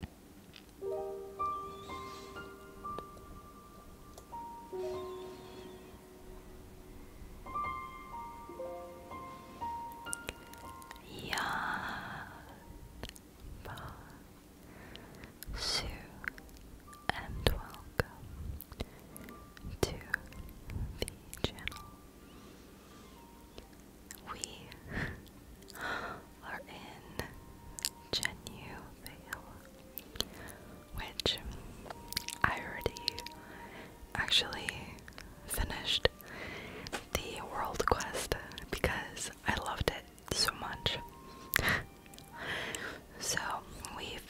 Yamba Sue and welcome to the channel. We are in Genuvale, which I already actually finished the world quest because I loved it so much. so we've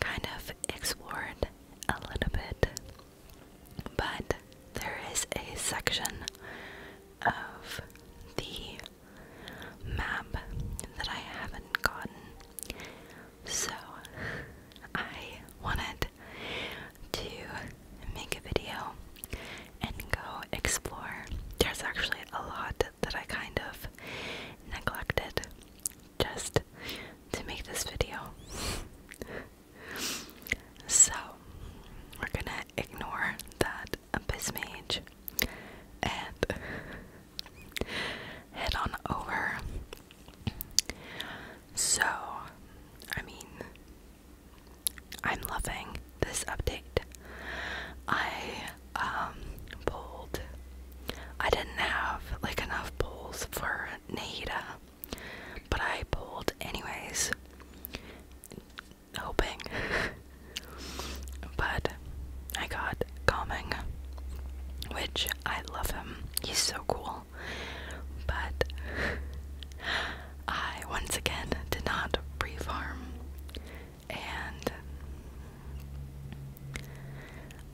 kind of explored a little bit, but there is a section of the map that I haven't gotten. So, I wanted to make a video and go explore. There's actually a lot that I kind of neglected just to make this video. so, we're gonna ignore that Abyss Mage and head on over. So, I mean, I'm loving this update. I um pulled. I didn't have like enough pulls for Nahida, but I pulled anyways hoping. but I got Calming, which I love him. He's so cool. But I once again did not pre farm. And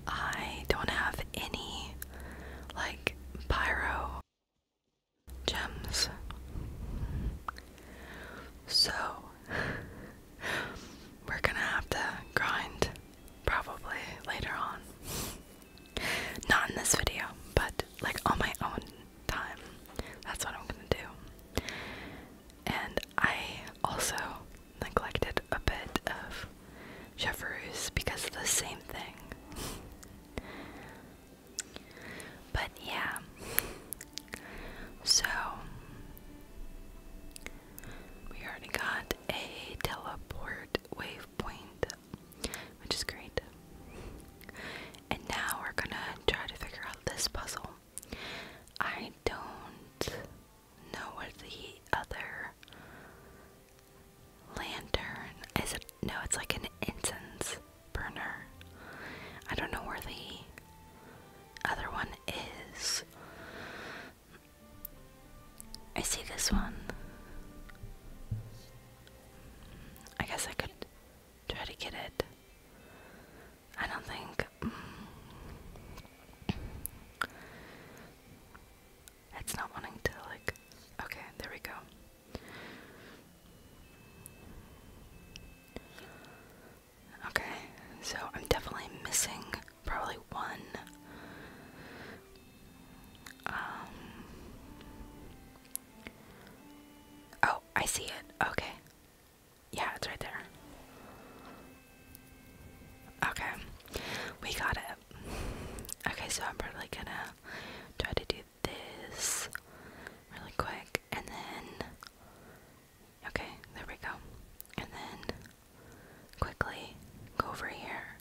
I don't have any like pyro gems. So, we're gonna have to grind probably later on. Not in this video, but like on my own time. That's what I'm gonna do. And I also neglected a bit of Jefferoos because of the same thing. But yeah. So we already got a teleport waypoint, which is great. And now we're gonna try to figure out this puzzle. I don't know what the other lantern is. It no, it's like an incense burner. I don't know where the other one is. I see this one. I guess I could try to get it. I don't think. Mm. it's not wanting to, like. Okay, there we go. Okay, so I'm definitely missing probably one. Um, oh, I see it. Okay. Yeah, it's right there. Okay, we got it. Okay, so I'm probably gonna try to do this really quick and then okay, there we go. And then quickly go over here.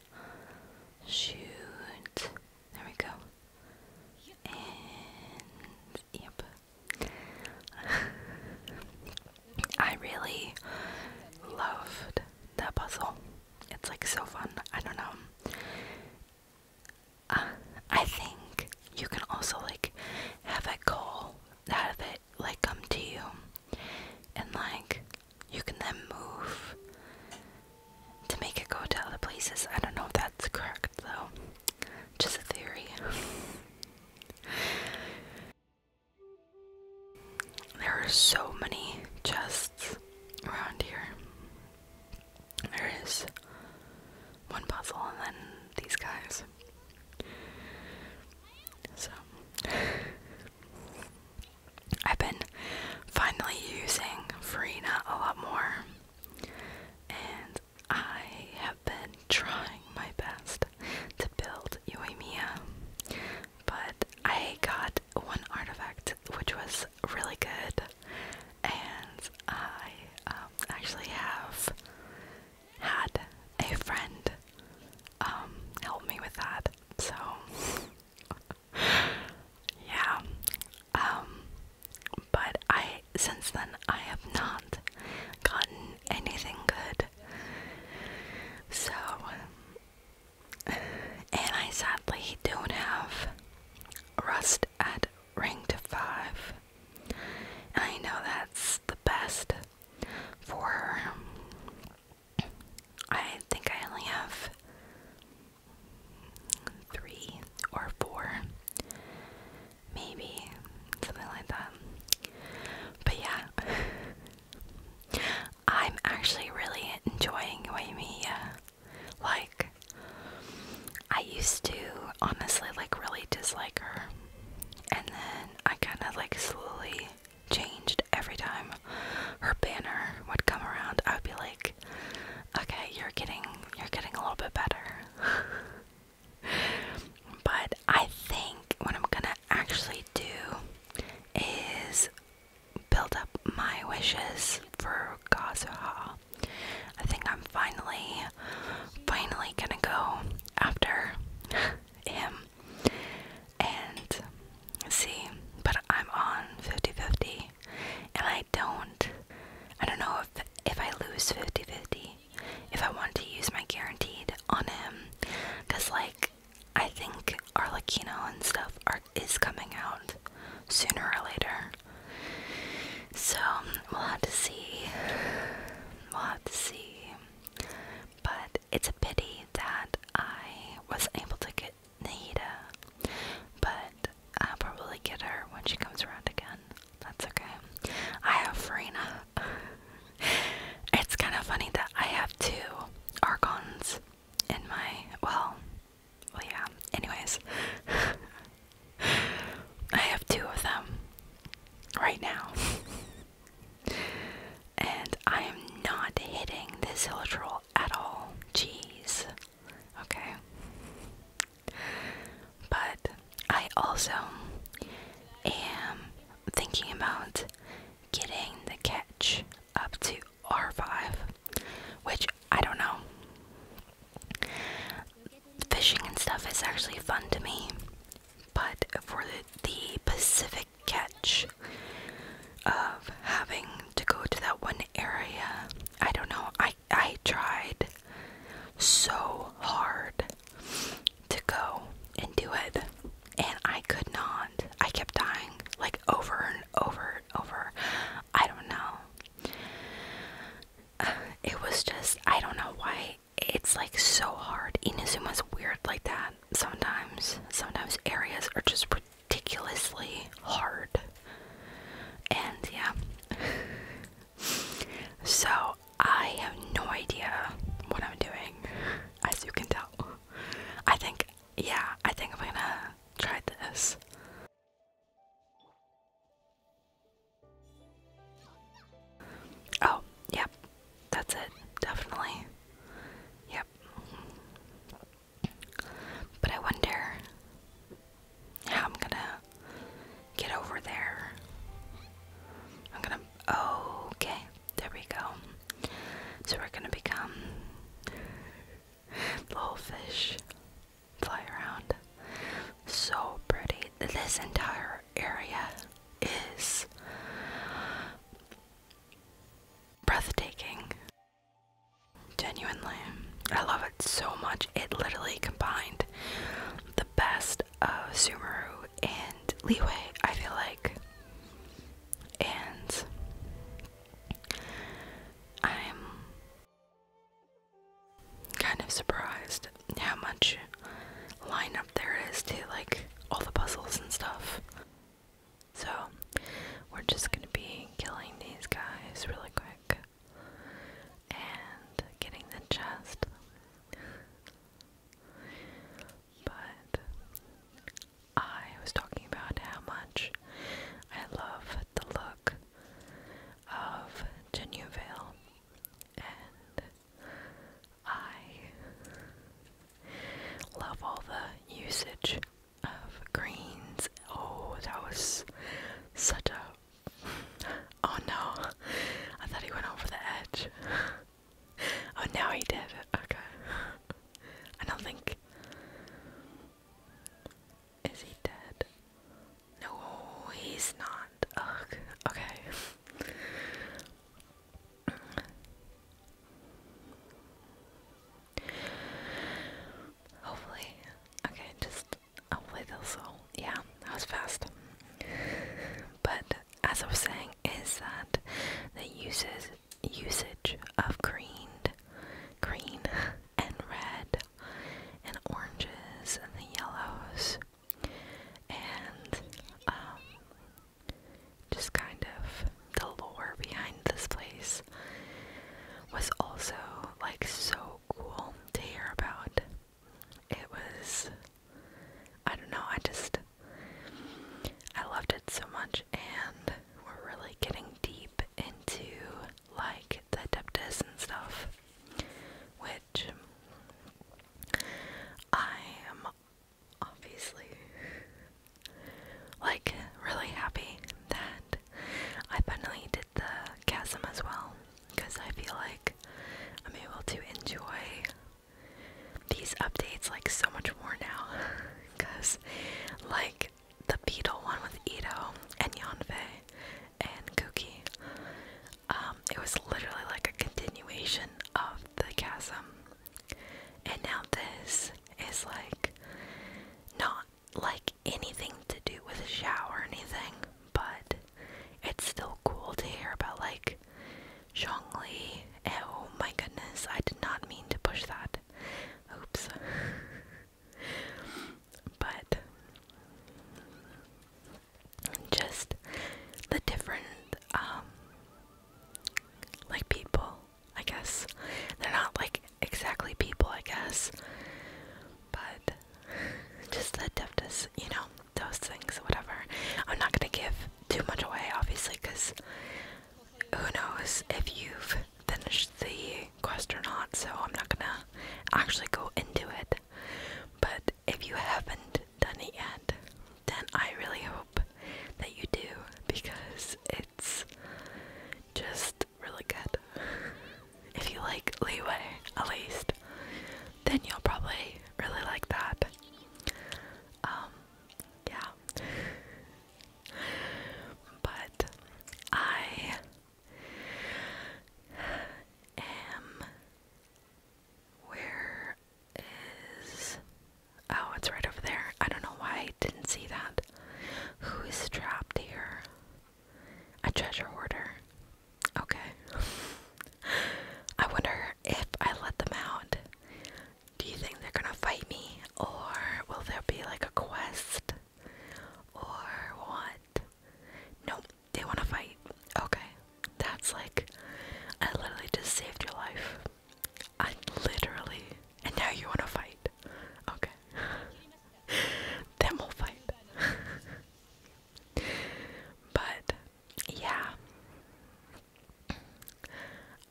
Shoot. There we go. And yep. I really loved that puzzle. It's like so fun. I don't know. Uh, I think you can also like have a goal out of it like come to you and like you can then move to make it go to other places. I don't know if that's correct though. Just a theory. there are so many chests around here. There is one puzzle and then these guys. So, I've been finally using Farina a lot more, and I have been trying my best to build Uemia, but I got one artifact which was really good, and I um, actually have had a friend um, help me with that. So yeah, um, but I since then I have not gotten anything good. So, and I sadly don't have rust at to 5. I know that's the best for her. Um, I think I only have three or four, maybe something like that. But yeah, I'm actually really enjoying Waimea. Uh, like, I used to honestly like really dislike her, and then I kind of like slowly changed every time her banner would come around. I would be like, "Okay, you're getting you're getting a little bit better." but I think what I'm gonna actually do is build up my wishes for Kazuha I think I'm finally, finally gonna go after him and see. But I'm on 50 50, and I don't, I don't know if, if I lose 50 50, if I want to use my guaranteed on him. Because, like, I think Arlecchino and stuff are, is coming out sooner or later. So we'll have to see. We'll have to see. But it's a pity that I wasn't able to get Nahida. But I'll probably get her when she comes around again. That's okay. I have Farina. it's kind of funny that I have two Argons in my. Well, well, yeah. Anyways, I have two of them right now. and I am not hitting this Hillitroll at all. Jeez. Okay. But I also am thinking about getting the catch up to R5, which I don't know. Fishing and stuff is actually fun to me, but for the, Pacific catch of having to go to that one area, I don't know. I I tried so hard to go and do it, and I could not. I kept dying like over and over and over. I don't know it was just I don't know why it's like so hard. Inazuma's weird like that sometimes. Sometimes areas are just ridiculously hard. And yeah. so I have no idea what I'm doing, as you can tell. I think, yeah, I think I'm gonna try this. Oh, yep. That's it. Definitely. Yep. But I wonder how I'm gonna get over there. I'm gonna. Oh, okay. There we go. So we're gonna become the fish fly around. So pretty. This entire area is breathtaking. Genuinely. I love it so much. It literally combined the best of Sumeru and Leeway, I feel like. And I'm kind of surprised how much lineup there is to like all the puzzles and stuff. So, we're just gonna be killing these guys really quick and getting the chest. but I was talking about how much I love the look of Genuvale and I love all the usage of greens. Oh, that was such a. Oh no, I thought he went over the edge. Oh, now he did. Okay. I don't think. Is he dead? No, he's not. Okay. Hopefully. Okay, just hopefully they'll solve. Yeah, that was fast. But as I was saying, is that the uses usage of green, green and red and oranges and the yellows and um, just kind of the lore behind this place was also like so cool to hear about. It was, I don't know, I just, I loved it so much, and we're really getting deep into like the deptus and stuff, which I am obviously like really happy that I finally did the chasm as well because I feel like I'm able to enjoy these updates like so much more now because like the Beetle one with Ito and Yonfei and Kuki um, it was literally like a continuation of the chasm. And now this is like not like anything to do with a shower or anything, but it's still cool to hear about like Zhongli. Oh my goodness, I did not mean to push that. Oops. but just the different, um, like people, I guess. They're not like exactly people, I guess, but just the deftness, you know, those things, whatever. I'm not gonna give too much away, obviously, because who knows if you've finished the quest or not, so I'm not gonna actually go into it. But if you haven't done it yet, then I really hope that you do because it's just really good. If you like leeway, at least, then you'll probably really like that. Um, yeah. but I M. Where is. Oh, it's right over there. I don't know why I didn't see that. Who is trapped here? A treasure hoarder. Okay. I wonder if I let them out. Do you think they're gonna fight me? Or will there be like a quest? Or what? Nope, they want to fight. Okay. That's like, I literally just saved your life. I literally. And now you want to fight. Okay. then we'll fight. but, yeah.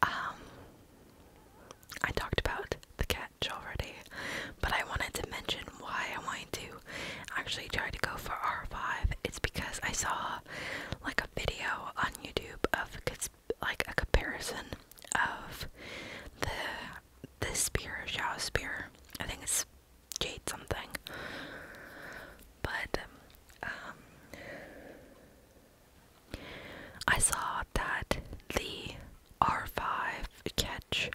Um, I talked about the catch already. But I wanted to mention why I wanted to actually try to go for R5. It's because I saw like a video on YouTube of like a comparison of the the spear, Xiao spear. I think it's Jade something. But um I saw that the R5 catch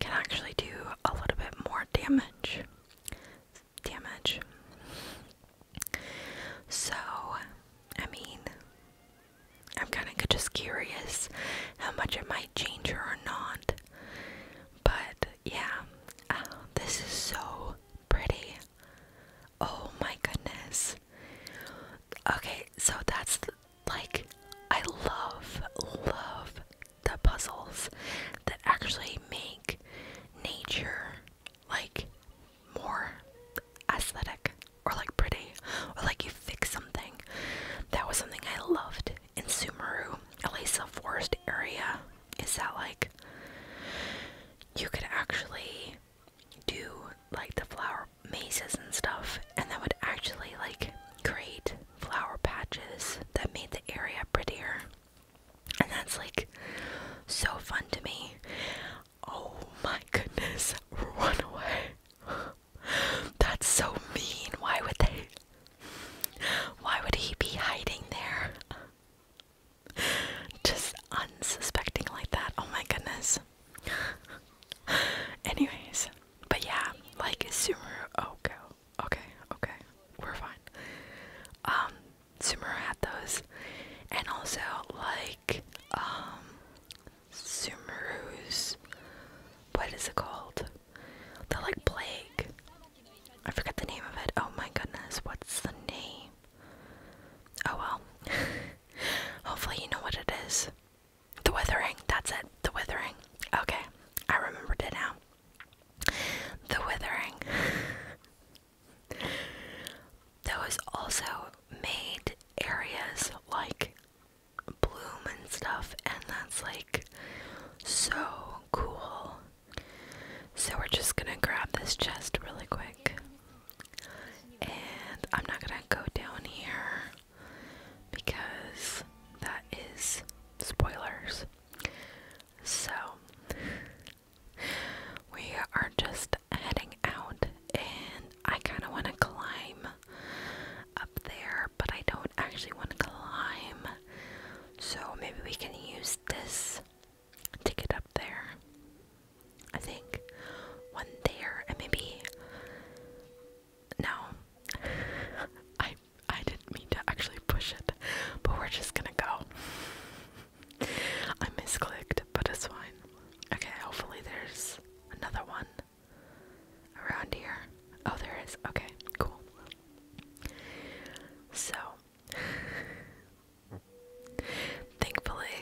can actually do a little bit more damage. Damage. So, I mean, I'm kind of just curious how much it might change her or not. But yeah, oh, this is so pretty. Oh my goodness. Okay, so that's like, I love, love the puzzles that actually make nature like more aesthetic or like pretty or like you fix something. That was something I loved in Sumeru, a least forest area, is that like you could actually do like the flower mazes and stuff and that would actually like create flower patches that made the area prettier. And that's like so fun to me. Oh my goodness, run away. That's so mean. Why would they? Why would he be hiding there? Just unsuspecting like that. Oh my goodness. Anyways, but yeah, like Sumeru Oko. Oh, okay, okay, we're fine. Um, had those, and also like um, Sumeru's. What is it called? The like plague. I forget the name of it. Oh my goodness, what's the name? Oh well. Hopefully you know what it is. The withering. That's it. The withering. Okay, I remembered it now. The Withering. Those also made areas like bloom and stuff, and that's like so cool. So, we're just gonna grab this chest really quick. And I'm not gonna go down here because that is spoilers. So, we are just heading out, and I kind of want to climb up there, but I don't actually want to climb. So, maybe we can use this to get up there. I think one there, and maybe. No. i I didn't mean to actually push it, but we're just gonna go. I misclicked, but it's fine. Okay, hopefully there's another one around here. Oh, there is. Okay, cool. So, thankfully,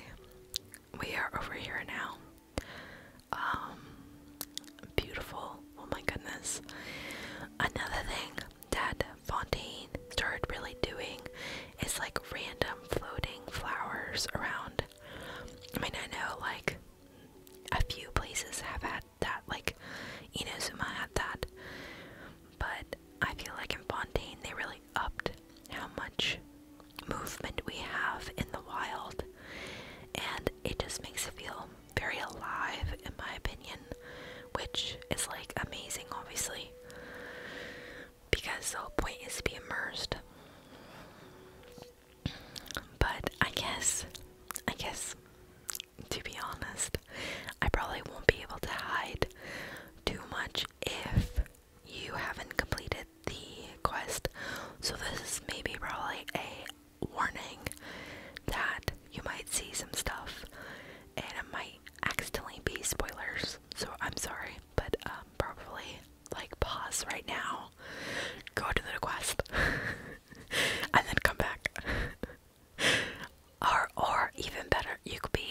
we are over here now. Um, Beautiful. Oh my goodness. Another thing that Fontaine started really doing is like random floating flowers around. I mean, I know like a few places have had that, like Inozuma had that, but I feel like in Fontaine they really upped how much movement we have in the wild, and it just makes it feel very alive, in my opinion, which is like amazing, obviously, because the whole point is to be immersed. But I guess, I guess, to be honest, I probably won't be able to hide too much if you haven't completed the quest. So, this is maybe probably a warning that you might see some stuff and it might accidentally be spoilers. So I'm sorry, but um, probably like pause right now, go to the quest, and then come back. or, or even better, you could be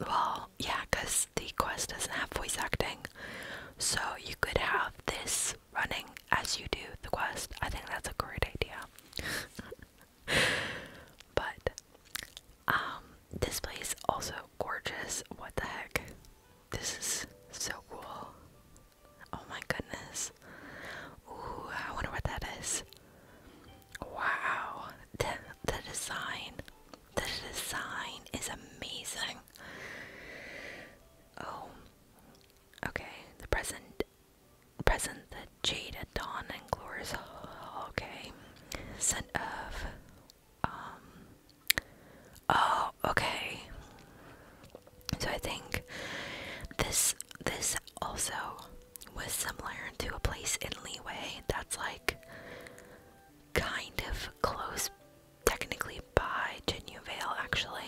well, yeah, because the quest doesn't have voice acting, so you could have this running as you do the quest. I think that's a great idea. but um, this place also gorgeous. What the heck? This is so cool. Oh my goodness. Ooh, I wonder what that is. Wow. The the design. The design is amazing. Oh. Okay, the present present the jade at dawn and glorious okay scent of um, oh okay so i think this this also was similar to a place in leeway that's like kind of close technically by Genua Vale actually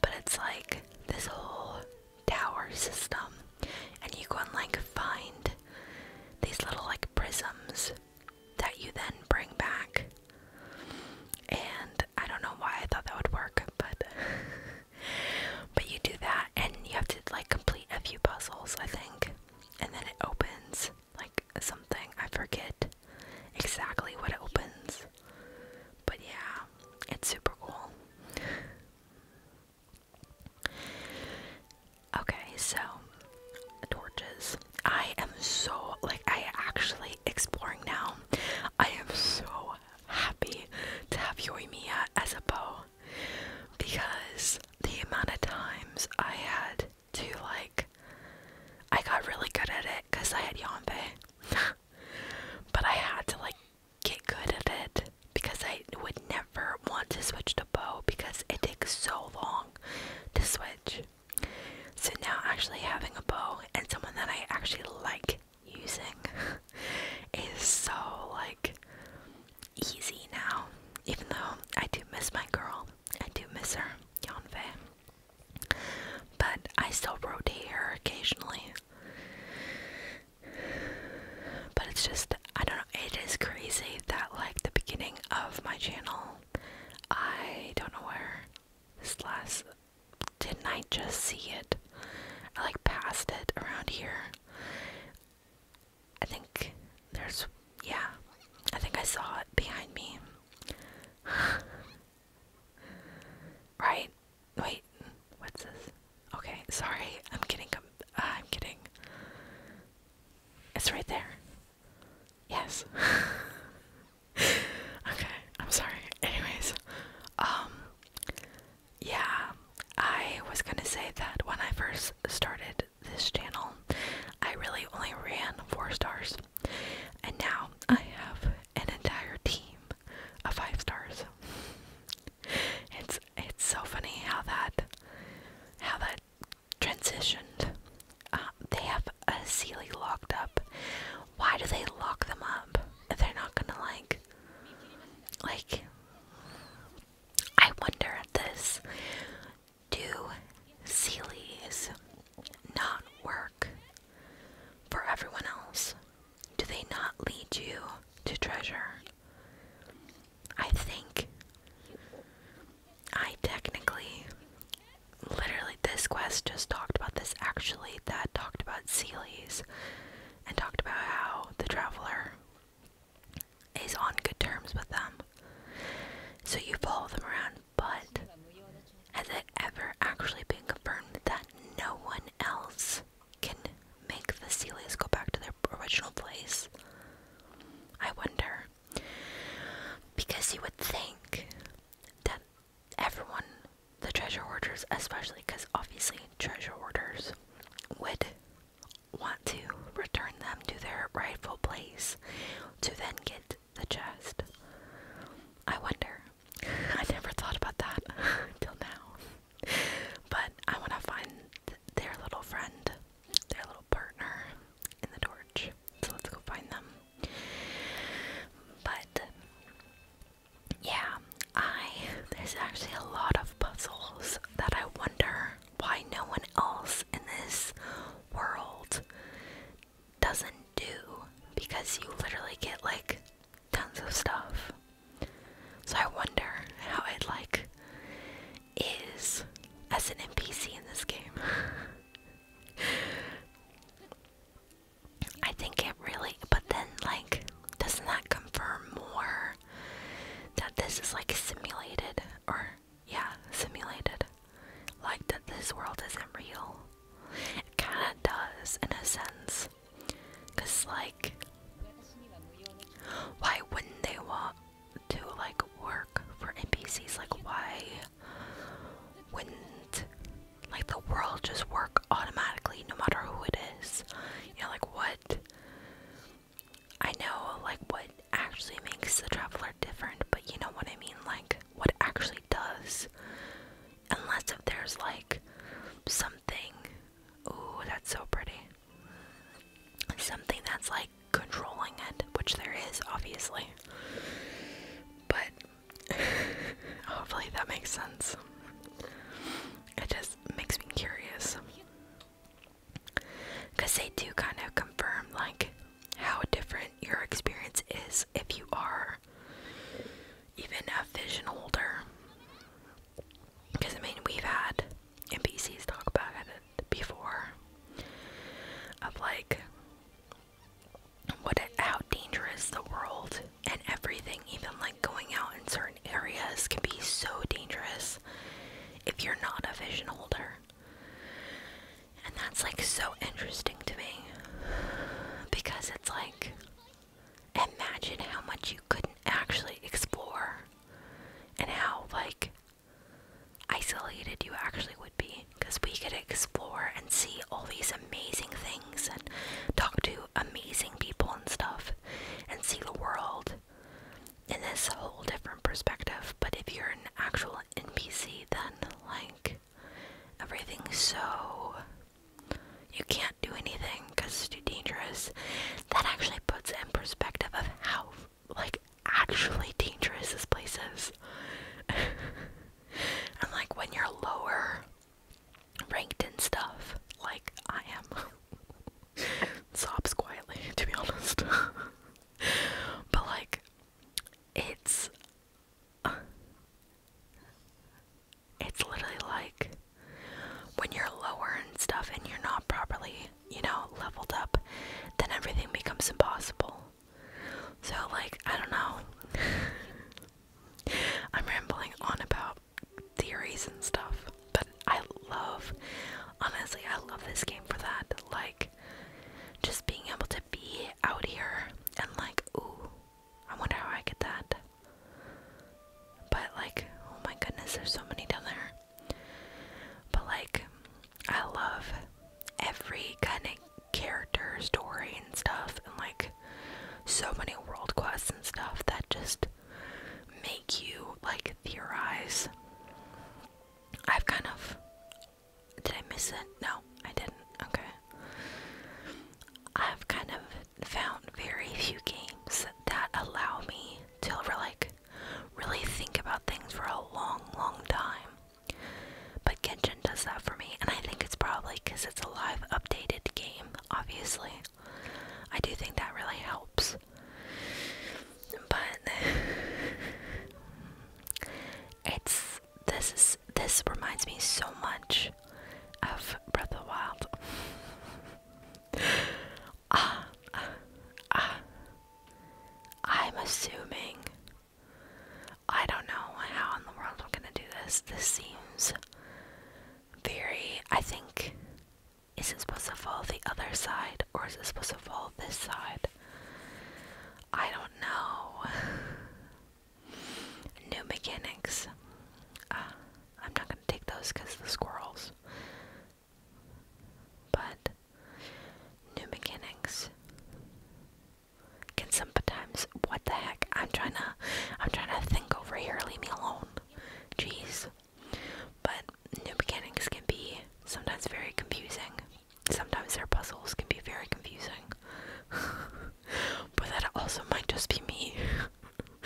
but it's like this whole tower system, and you go and like find these little like prisms that you then bring back. And I don't know why I thought that would work, but but you do that, and you have to like complete a few puzzles, I think, and then it opens like something. I forget exactly what it opens. But yeah, it's super cool. Okay, so torches. I am so like I actually exploring now. I am so happy to have Yoimiya as a bow because the amount of times I had to like I got really good at it because I had Yonbe but I had to like get good at it because I would never want to switch to bow because it takes so long to switch. So now actually having a bow and someone that I actually like using is so like easy now. Even though I do miss my girl, I do miss her, Yonfei. But I still rotate here occasionally. But it's just, I don't know, it is crazy that, like, the beginning of my channel, I don't know where this last. Didn't I just see it? I like passed it around here. I think there's, yeah, I think I saw it behind me. Right? Wait, what's this? Okay, sorry, I'm kidding. Uh, I'm getting. It's right there. Yes. okay, I'm sorry. Anyways, um, yeah, I was gonna say that when I first started this channel, I really only ran four stars, and now I have an entire team of five stars. It's it's so funny how that how that transitioned. Uh, they have a Sealy locked up. Why do they lock them up if they're not gonna like like? I wonder at this. Do Seelys not work for everyone else? Do they not lead you to treasure? I think I technically, literally, this quest just talked about this actually, that talked about Seelies and talked about how the traveler is on good terms with them. So you follow them around, but has it ever actually been confirmed that no one else can make the seals go back to their original place? I wonder. Because you would think that everyone, the treasure hoarders especially, because obviously treasure hoarders would want to return them to their rightful place to then get the chest. I wonder. I never thought about that until now. But I want to find their little friend, their little partner in the torch. So let's go find them. But yeah, I there's actually a lot of puzzles that I wonder why no one else in this world doesn't do because you literally get like tons of stuff. So I wonder how it like is as an NPC in this game. I think it really but then like doesn't that confirm more that this is like simulated or yeah, simulated. Like that this world isn't real. It kinda does in a sense. Cause like, why wouldn't they want to like work for NPCs? Like, why wouldn't like the world just work automatically no matter who it is? You know, like what? I know like what actually makes the traveler different, but you know what I mean? Like, what actually does Unless if there's like something. Ooh, that's so pretty. Something that's like controlling it, which there is, obviously. But hopefully that makes sense. It just makes me curious. Because they do kind of confirm, like, how different your experience is if you are even a vision holder. Because, I mean, we've had NPCs talk about it before of like what how dangerous the world and everything, even like going out in certain areas, can be so dangerous if you're not a vision holder. And that's like so interesting to me because it's like imagine how much you couldn't actually explore and how like isolated you actually would be because we could explore and see all these amazing things and talk to amazing people and stuff and see the world in this whole different perspective but if you're an actual npc then like Everything's so. You can't do anything because it's too dangerous. That actually puts in perspective of how, like, actually dangerous this place is. and, like, when you're lower ranked in stuff, like I am, sobs quietly, to be honest. but, like, it's it's literally like when you're lower and stuff and you're not properly, you know, leveled up, then everything becomes impossible. So, like, I don't know. I'm rambling on about theories and stuff, but I love, honestly, I love this game for that. Like, just being able to be out here and, like, ooh, I wonder how I get that. But like, oh my goodness, there's so many down there. But like, I love every kind of character story and stuff, and like so many world quests and stuff that just make you like theorize. I've kind of. Did I miss it? No, I didn't. Okay. I've kind of found very few games that allow me to like really think about things for a long, long time. But Genshin does that for me, and I think it's probably because it's a live updated game, obviously. I do think that really helps. But it's this is this reminds me so much of Breath of the Wild. Ah, uh, uh, I'm assuming. I don't know how in the world we're gonna do this. This seems very. I think. Is it supposed to fall the other side or is it supposed to fall this side? I don't know. New mechanics. Uh, I'm not gonna take those because the squirrels. But new mechanics can sometimes. What the heck? I'm trying to. I'm trying to think over here. Leave me alone. Jeez. But new mechanics can be sometimes very confusing. Sometimes their puzzles can be very confusing. but that also might just be me.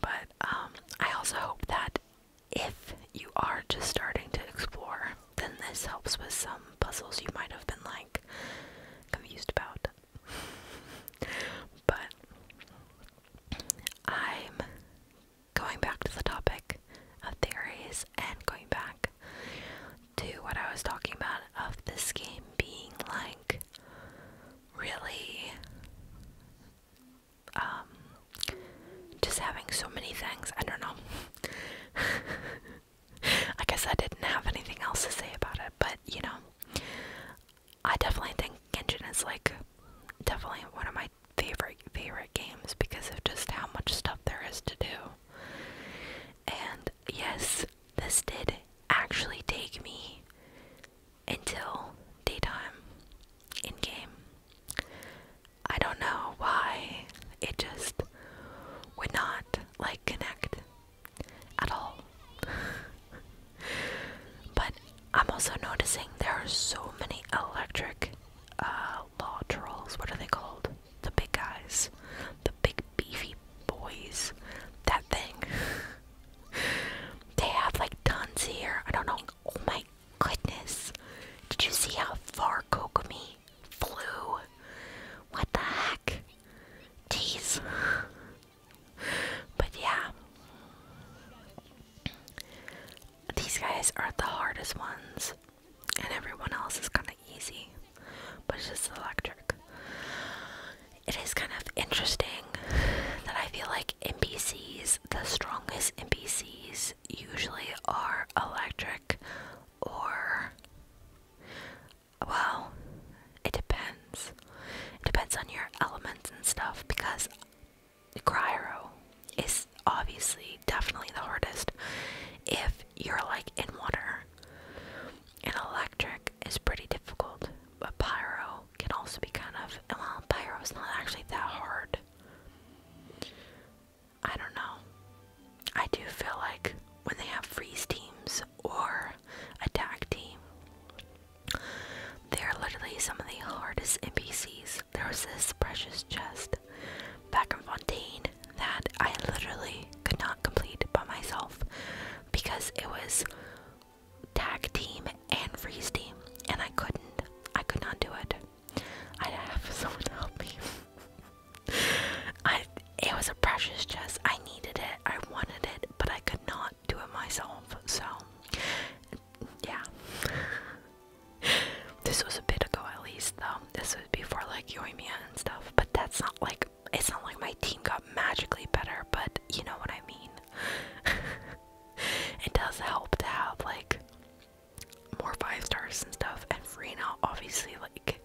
but um, I also hope that if you are just starting to explore, then this helps with some puzzles you might have been like confused about. but I'm going back to the topic of theories and going back to what I was talking about of this game being like really um, just having so many things. I don't know. I guess I didn't have anything else to say about it, but you know, I definitely think Genshin is like definitely one of my favorite favorite games because of just how much stuff there is to do. And yes, this did actually take me until daytime in game. I don't know why it just would not like connect at all. but I'm also noticing there are so many electric uh, law trolls. What are they called? The big guys. The big beefy boys. That thing. they have like tons here. I don't know. Oh my goodness. Did you see how far Kokumi flew? What the heck? Jeez. But yeah. These guys are the hardest ones. And everyone else is kind of easy. But it's just electric. It is kind of interesting that I feel like NPCs, the strongest NPCs, usually are electric or. Well, it depends. It depends on your elements and stuff because Cryo is obviously definitely the hardest if you're like in water. And electric is pretty difficult, but pyro can also be kind of. Well, pyro is not actually that hard. I don't know. I do feel like when they have freeze teams or attack team, they are literally some of the hardest NPCs. There was this precious chest back in Fontaine that I literally could not complete by myself because it was tag team and freeze team, and I couldn't. I could not do it. I'd have someone help me. I. It was a precious chest. I needed it. I wanted it, but I could not do it myself. So, yeah. this was a bit ago, at least though. This was before like Yoimiya and stuff. But that's not like it's not like my team got magically better, but you know what I mean. it does help to have like more five stars and stuff, and Freena obviously like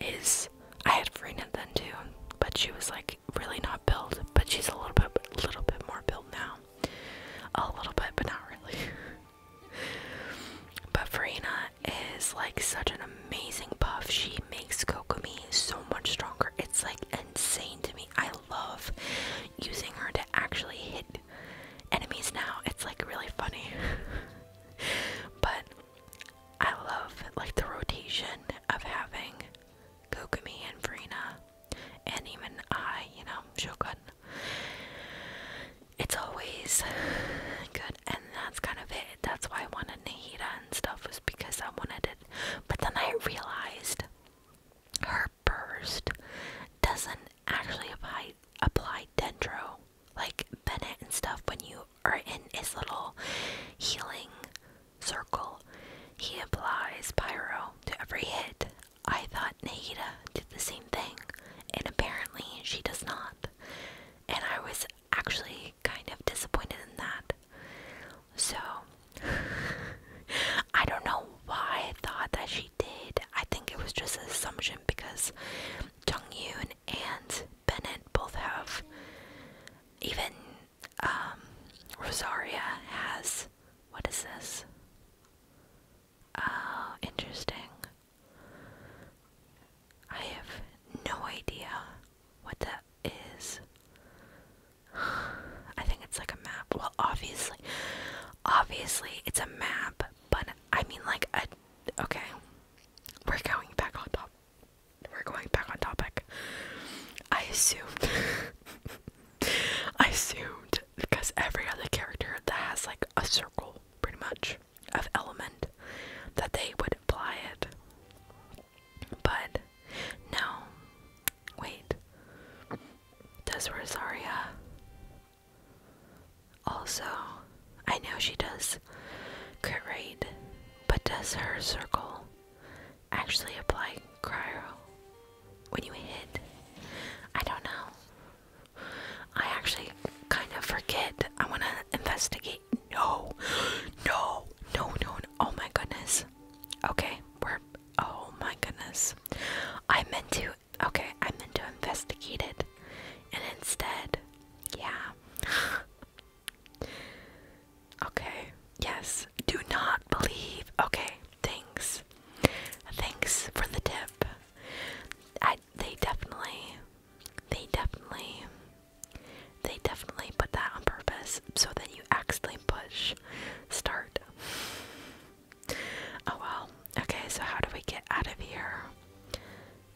is I had Freena then too, but she was like really not built, but she's a little bit a little bit more built now. A little bit, but not really. but Freena is like such an amazing puff. She makes Kokomi so much stronger. It's like insane to me. I love using her to actually hit enemies now. It's like really funny. but I love like the rotation of having Kokomi and Farina and even I, you know, Shogun. It's always good and that's kind of it. That's why I wanted Nahida and stuff was because I wanted it. But then I realized her burst doesn't actually apply apply dendro like Bennett and stuff. When you are in his little healing circle, he applies pyro to every hit. I thought Nahida did the same thing, and apparently she does not. And I was actually kind of disappointed in that. So, I don't know why I thought that she did. I think it was just an assumption because Jung Yoon and Bennett both have. Even um, Rosaria has. What is this? Oh, interesting. I have no idea what that is. I think it's like a map. Well, obviously, obviously it's a map, but I mean like a, okay, we're going back on top. We're going back on topic. I assumed, I assumed because every other character that has like a circle, pretty much, of element, that they would apply it. But no. Wait. Does Rosaria also I know she does crit rate, but does her circle actually apply cryo when you hit? I don't know. I actually kind of forget. I wanna investigate no, no, no, no. Oh my goodness. Okay, we're. Oh my goodness. I meant to. Okay, I meant to investigate it. And instead. Yeah. okay, yes. Do not believe. Okay, thanks. Thanks for the tip. I, they definitely. They definitely they definitely put that on purpose so that you actually push start. Oh well. Okay, so how do we get out of here?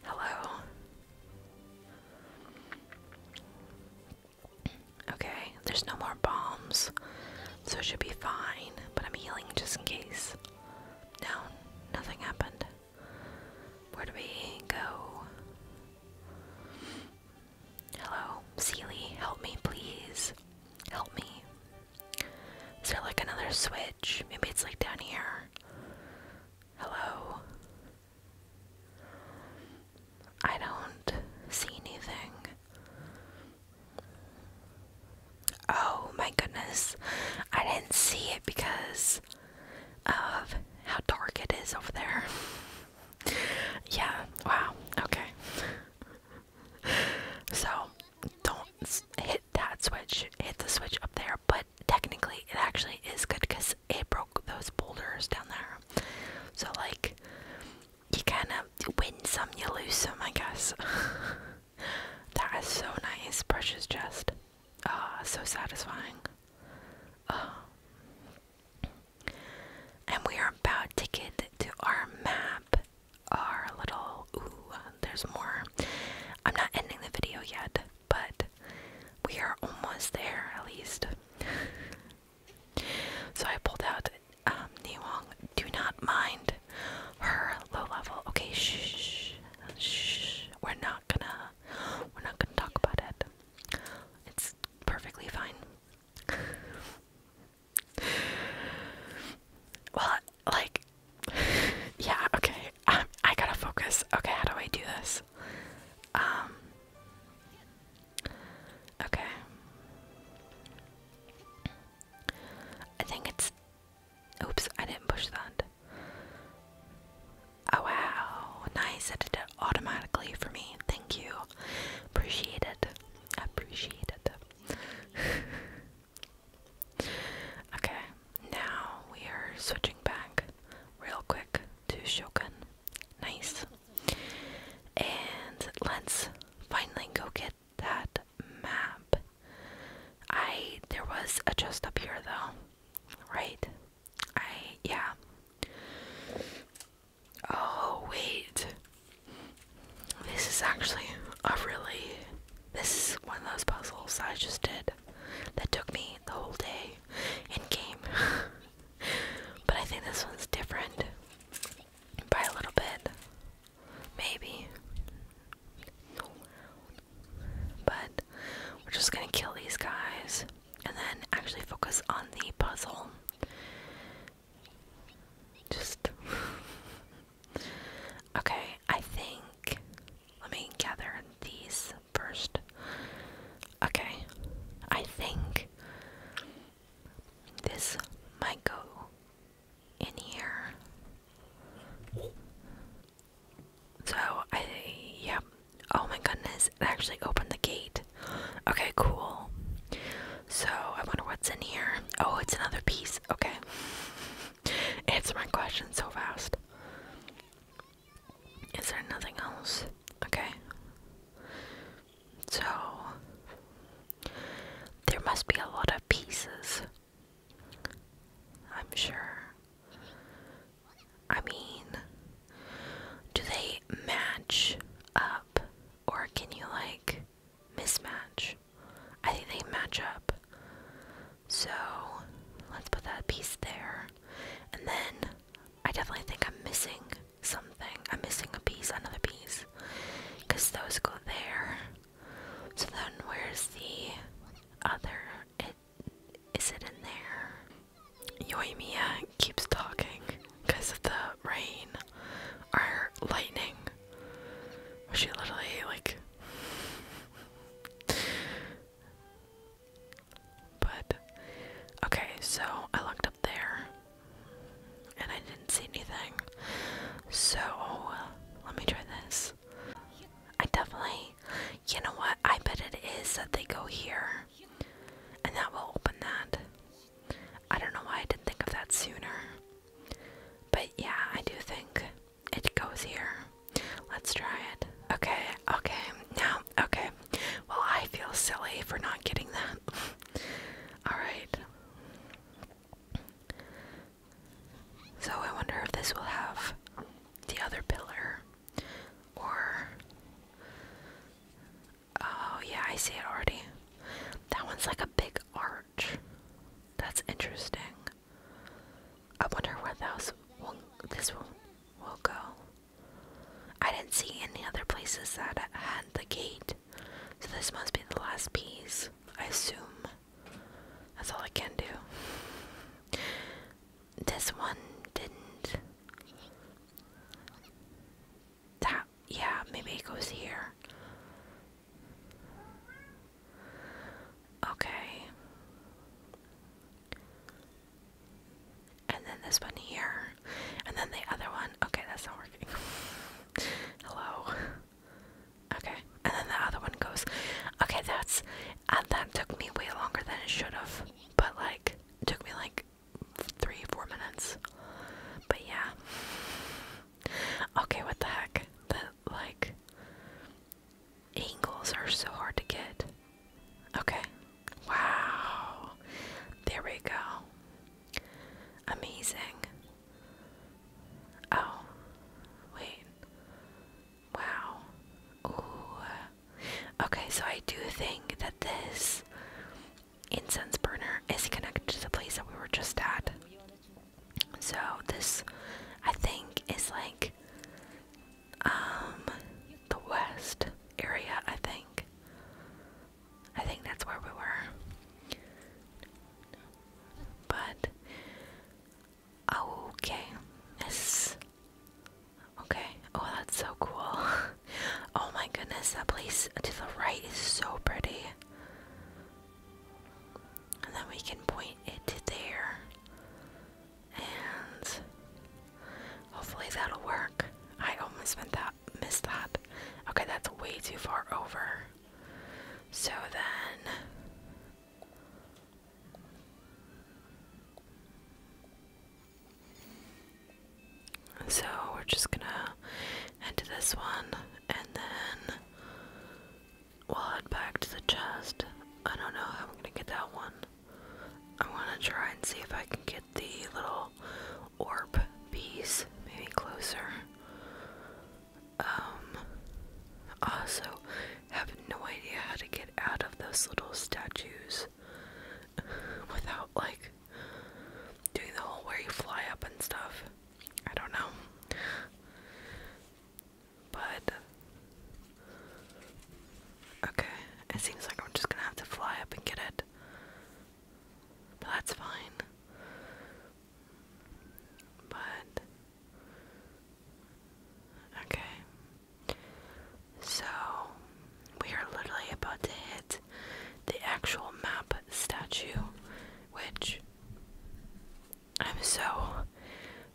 Hello? Okay, there's no more bombs, so it should be fine, but I'm healing just in case. No, nothing happened. Where do we go? Hello, Seely, help me, please. Help me. Is there like another switch? Maybe it's like down here. Hello? I don't see anything. Oh my goodness. I didn't see it because of how dark it is over there. yeah, wow, okay. so, don't hit that switch, hit the switch up there, but technically it actually is good because it broke those boulders down there. So, like, you kind of win some, you lose some, I guess. that is so nice, precious chest. Ah, so satisfying. Uh, and we are about to get to our map. Our little. Ooh, there's more. I'm not ending the video yet, but we are almost there at least. so I pulled out um, Niwong. Do not mind her low level. Okay, shh, shh. We're not gonna. We're not gonna talk about it. It's perfectly fine. well, like, yeah, okay. Um, I gotta focus. Okay, how do I do this? Um, okay. I think it's. Oops, I didn't push that. Oh wow, nice. It automatically for me. Thank you. Appreciate it. Appreciate it. okay, now we are switching back real quick to Shogun. Nice. And let's finally go get that map. I there was a chest up here though. Right? I yeah. Oh wait. This is actually a really this is one of those puzzles I just did that took me the whole day in game. but I think this one's different by a little bit. Maybe. But we're just gonna kill these guys and then actually focus on the puzzle. Just okay, I think let me gather these first. Okay, I think this might go in here. So I, yep, Oh my goodness, it actually opened the gate. Okay, cool. So, I wonder what's in here. Oh, it's another piece. Okay. Answer my question so fast. Is there nothing else? Okay. So, there must be a lot of pieces. I'm sure. I mean, do they match up or can you like mismatch? I think they match up. So let's put that piece there. And then I definitely think I'm missing something. I'm missing a piece, another piece. Because those go there. So then where's the other? Is it in there? Yoimiya keeps talking because of the rain or lightning. She literally, like. But, okay, so I looked up there and I didn't see anything. So, let me try this. I definitely you know what? I bet it is that they go here. And that will open that. I don't know why I didn't think of that sooner. But yeah, I do think it goes here. Let's try it. Okay, okay. Now, okay. Well, I feel silly for not getting that. Alright. So I wonder if this will have the other pillar. Or. Oh, yeah, I see it already. That one's like a big arch. That's interesting. I wonder where those this will go. I didn't see any other places that had the gate, so this must be the last piece, I assume. That's all I can do this one didn't. That, yeah, maybe it goes here. Okay. And then this one here. And then the other one. Okay, that's not working. Hello. Okay. And then the other one goes. Okay, that's. And uh, that took me way longer than it should have. But, like, it took me like three, four minutes. But yeah. Okay, what the heck? The like angles are so hard to get. Okay. Wow. There we go. Amazing. Oh. Wait. Wow. Ooh. Okay, so I do think that this incense burner is connected to the place that we were just at. So this, I think, is like um, the west area. I think. I think that's where we were. But okay, this Okay. Oh, that's so cool. oh my goodness, that place to the right is so pretty. And then we can point it there. And hopefully that'll work. I almost missed that. Okay, that's way too far over. So then so we're just gonna end this one and then we'll head back to the chest. I don't know how I'm gonna get that one. I wanna try and see if I can get the little orb piece maybe closer. Um also have no idea how to get out of those little statues. without like doing the whole where you fly up and stuff. I don't know. But okay, it seems like I'm just gonna have to fly up and get it. But that's fine. But okay, so, we are literally about to hit the actual map statue, which I'm so,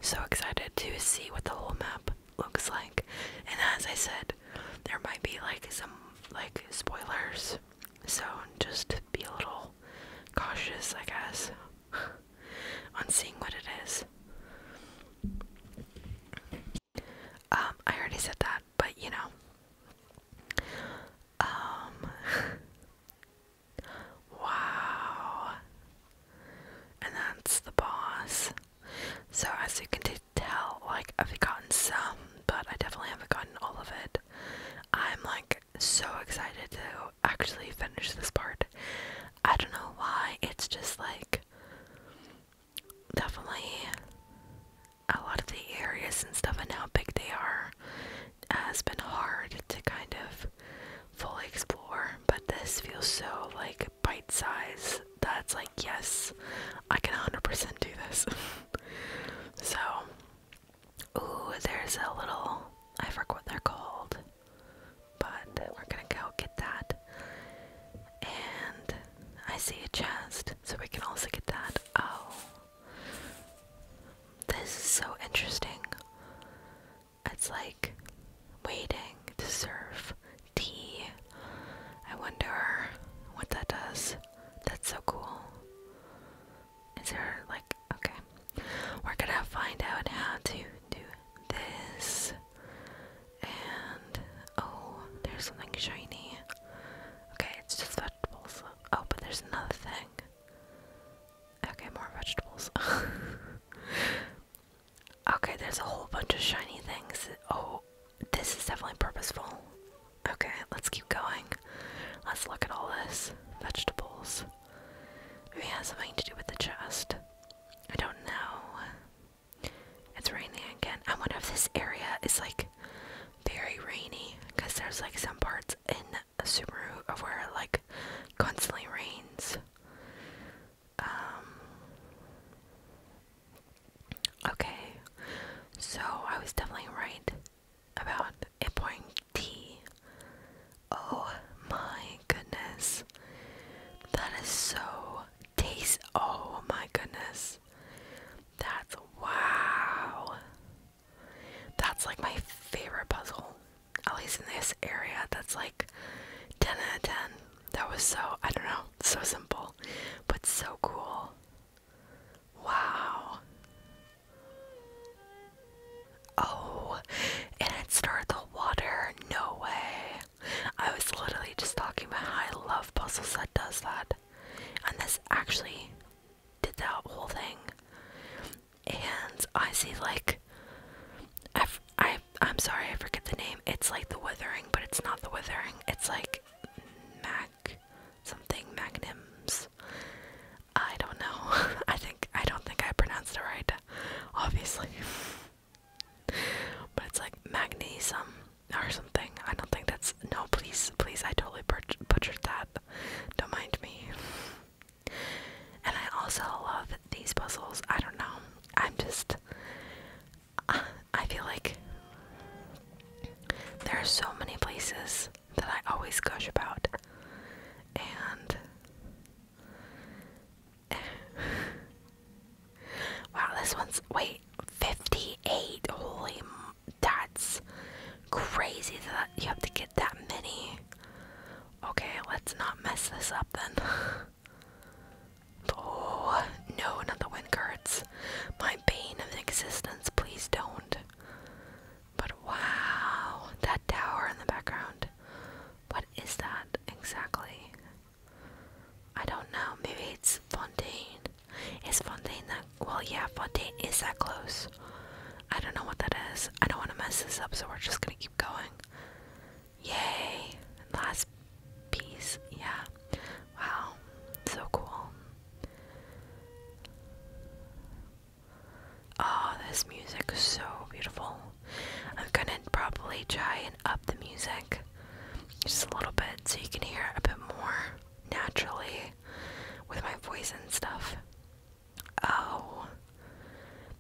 so excited to see what the whole map looks like. And as I said, there might be like some like spoilers, so just be a little cautious, I guess, on seeing what it is. Um, I already said that, but you know. Um. wow. And that's the boss. So as you can tell, like I've gotten some, but I definitely haven't gotten all of it. I'm like so excited to actually finish this part. I don't know why. It's just like definitely a lot of the areas and stuff and how big they are has been hard to kind of fully explore, but this feels so like bite size that's like, yes, I can 100% do this. so, ooh, there's a little, I forgot what they're called, but we're gonna go get that. And I see a chest, so we can also get that. Oh. This is so interesting. It's like waiting to serve tea. I wonder what that does. That's so cool. Is there like okay. We're gonna find out how to do this. And oh, there's something shiny. Okay, it's just vegetables. Oh, but there's another thing. Okay, more vegetables. okay, there's a whole bunch of shiny things. Oh, this is definitely purposeful. Okay, let's keep going. Let's look at all this. Vegetables. Maybe it has something to do with the chest. I don't know. It's raining again. I wonder if this area is like very rainy because there's like some parts in Subaru of where it like constantly rains. Um, okay, so I was definitely right about it pouring tea. Oh my goodness, that is so taste. Oh my goodness. That's wow. That's like my favorite puzzle. At least in this area, that's like 10 out of 10. That was so, I don't know, so simple, but so cool. Wow. Oh, and it started the water. No way. I was literally just talking about how I love puzzles that does that. And this actually did that whole thing. And I see like I, I I'm sorry, I forget the name. It's like the withering, but it's not the withering. It's like Mac something magnums. I don't know. I think I don't think I pronounced it right. Obviously. but it's like magnesium or something. I don't think that's. No, please, please, I totally butchered that. Don't mind me. And I also love these puzzles. I don't know. I'm just. I feel like there are so many places that I always gush about. And. Eh, Wow, this one's wait 58. Holy, that's crazy that you have to get that many. Okay, let's not mess this up then. oh no, not the wind cards. My bane of existence. Please don't. But wow, that tower in the background. What is that exactly? I don't know. Maybe it's Fontaine. It's Fontaine that? Well, yeah, Fontaine is that close. I don't know what that is. I don't want to mess this up, so we're just gonna keep going. Yay! Last piece. Yeah. Wow. So cool. Oh, this music is so beautiful. I'm gonna probably try and up the music just a little bit so you can hear it a bit more naturally with my voice and stuff. Oh,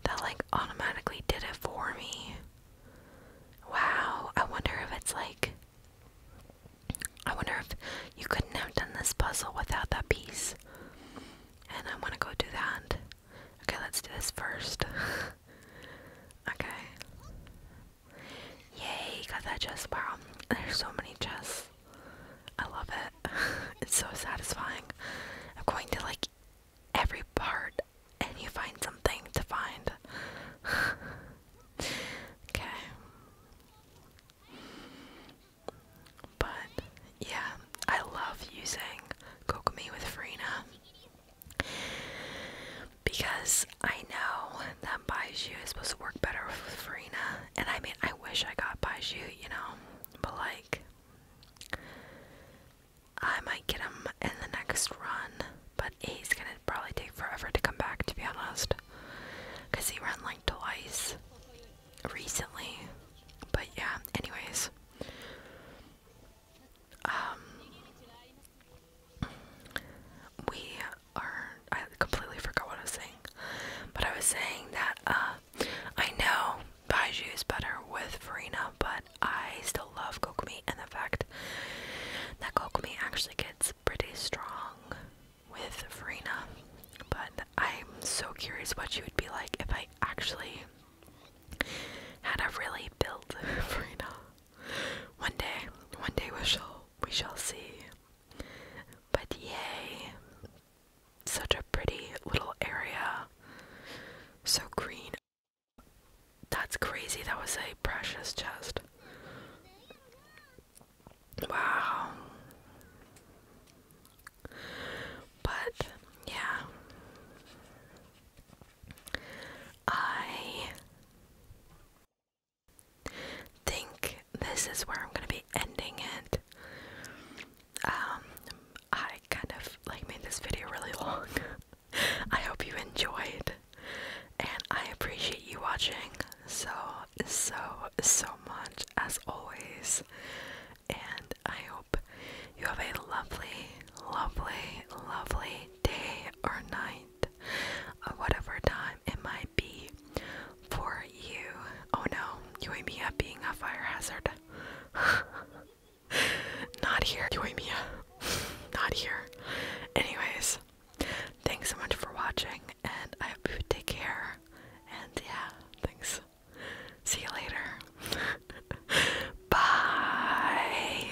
that like automatically did it for me. Wow, I wonder if it's like. I wonder if you couldn't have done this puzzle without that piece. And I want to go do that. Okay, let's do this first. okay. Yay, got that chest. Wow, there's so many chests. I love it. it's so satisfying. I'm going to like every part and you find something to find. okay. But yeah, I love using Kokomi with Farina. Because I know that Baiju is supposed to work better with Farina. And I mean, I wish I got Baiju, you know? But like, I might get him in the next run. But he's gonna probably take forever to come back, to be honest. Because he ran like twice recently. But yeah, anyways. Um, we are. I completely forgot what I was saying, but I was saying that uh, I know Baiju is better with Farina, but I still love Kokumi and the fact that Kokumi actually gets pretty strong with Farina. But I'm so curious what she would be like if I actually had a really built Farina. One day, one day we shall we shall see. But yay. Such a pretty little area. So green. That's crazy. That was a precious chest. Wow. But yeah. I think this is where I'm gonna be ending it. Um, I kind of like made this video really long. I hope you enjoyed, and I appreciate you watching so, so, so much as always. And I hope you have a lovely, lovely, lovely day or night night whatever time it might be for you. Oh no, you Mia being a fire hazard. Not here, you Mia. Not here. Anyways, thanks so much for watching and I take care. And yeah, thanks. See you later. Bye.